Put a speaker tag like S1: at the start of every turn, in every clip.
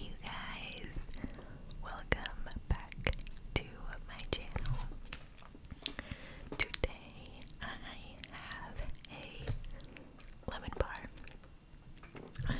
S1: you guys, welcome back to my channel. Today I have a lemon bar.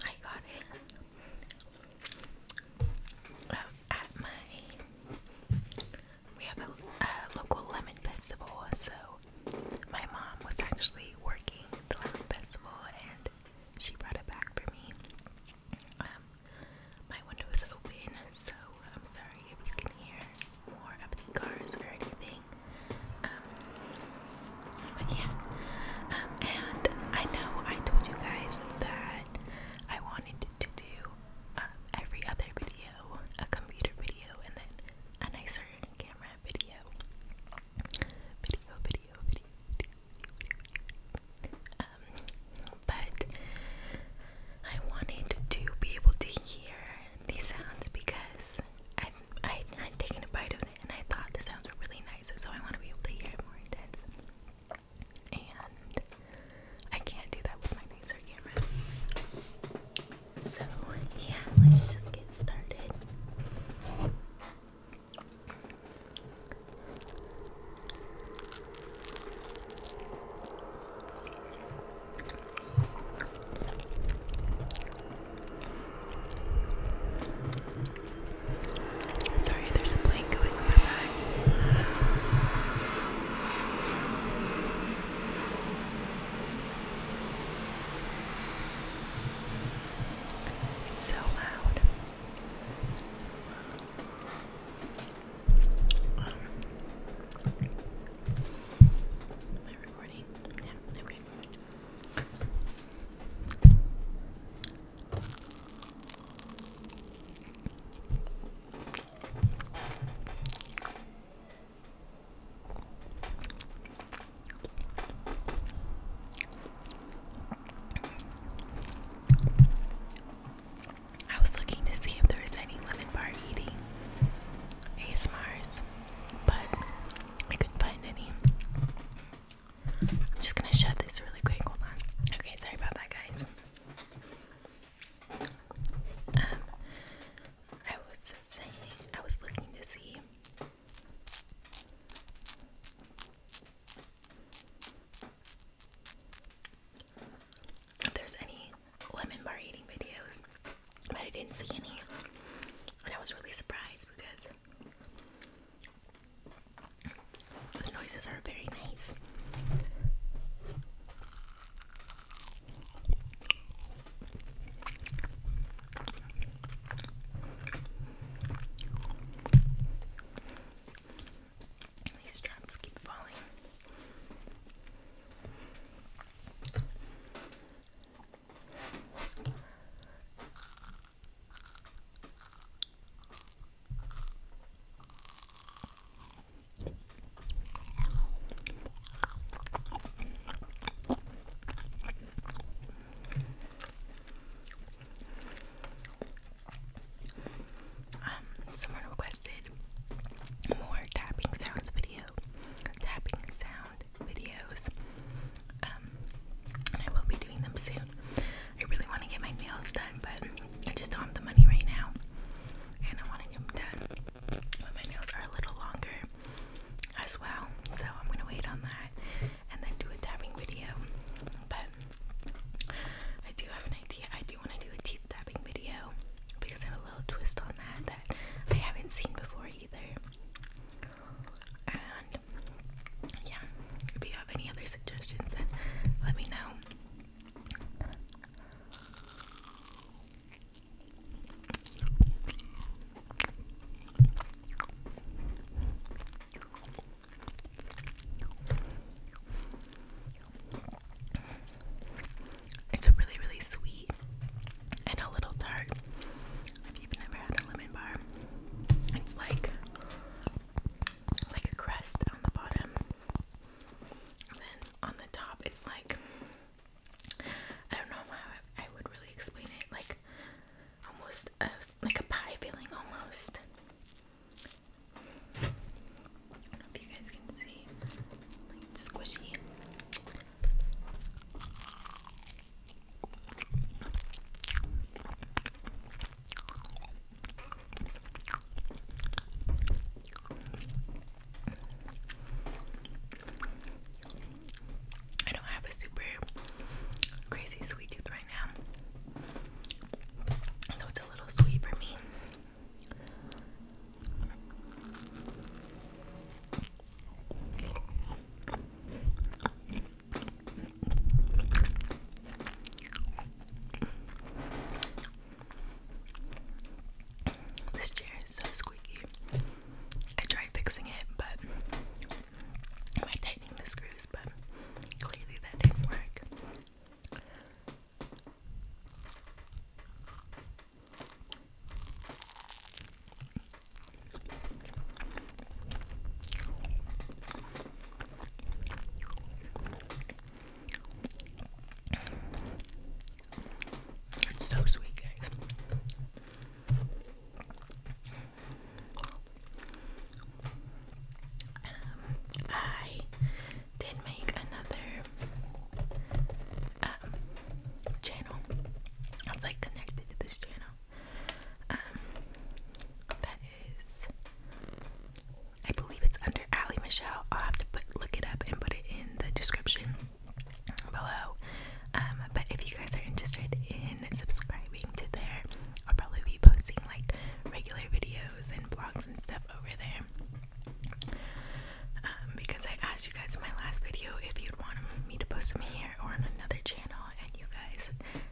S1: I got it uh, at my. We have a, a local lemon festival, so my mom was actually working the Lamb Festival and she brought it back for me. Um, my window is open, so I'm sorry if you can hear more of the cars or anything. Um, but yeah, um, and I know I told you guys that I wanted to do um, every other video, a computer video, and then a nicer camera video. Video, video, video, video, video, video. Um, but I wanted to be able to hear these sounds because I I had taken a bite of it and I thought the sounds were really nice, so I want to be able to hear it more intense. And I can't do that with my nicer camera. So, yeah, let's just get started. Sorry, there's a plane going by. It's so loud. am I recording? Yeah, okay. I was looking to see if there was any lemon bar eating ASMRs, but I couldn't find any. I'm just gonna shut this really quick. Hold on. Okay, sorry about that, guys. Um, I was saying, I was looking to see. If there's any lemon bar eating videos, but I didn't see any, and I was really surprised because the noises are very nice. These straps keep falling. Um, someone requested more tapping sounds video, tapping sound videos. Um, I will be doing them soon. I really want to get my nails done, but I just don't have the money right now, and I want to them done. But my nails are a little longer as well, so I'm gonna wait on that and then do a tapping video. But I do have an idea. I do want to do a teeth tapping video because I have a little twist on that that I haven't seen before either. And yeah, if you have any other suggestions, let me know. It's really, really sweet and a little tart. If you've had a lemon bar, it's like like a crust on the bottom then on the top, it's like I don't know how I would really explain it. Like almost a like a pie feeling, almost. I don't know if you guys can see. Like squishy. I don't have a super crazy sweet tooth right now, so it's a little sweet for me. This chair is so squeaky. I tried fixing it, but by tightening the screws, but clearly that didn't work. It's so sweet, guys. Um, I did make another um, channel. I like connected to this channel. Um, I believe it's under Ali Michelle. I'll have to put, look it up and put it in the description below. Um, but if you guys are interested in subscribing to there, I'll probably be posting like regular videos and blogs and stuff over there. Um, because I asked you guys in my last video if you'd want me to post them here or on another channel, and you guys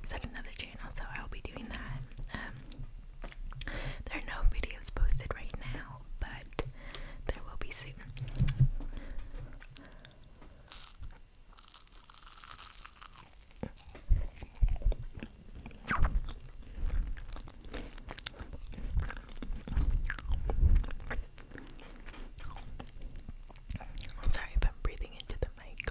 S1: said another channel channel, I'll be doing that. Um, there are no videos posted right now, but there will be soon. I'm sorry if I'm breathing into the mic.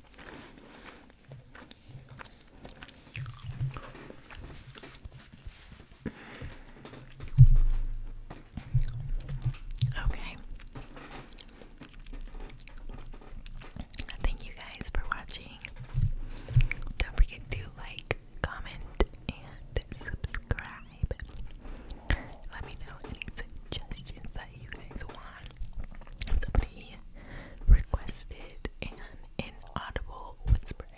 S1: Okay. Thank you guys for watching. Don't forget to like, comment, and subscribe. Let me know any suggestions you guys want. Somebody requested an inaudible whispering.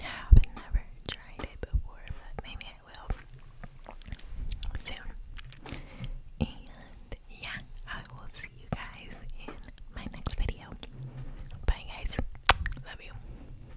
S1: I have never tried it before, but maybe I will soon. And yeah, I will see you guys in my next video. Bye, guys. Love you.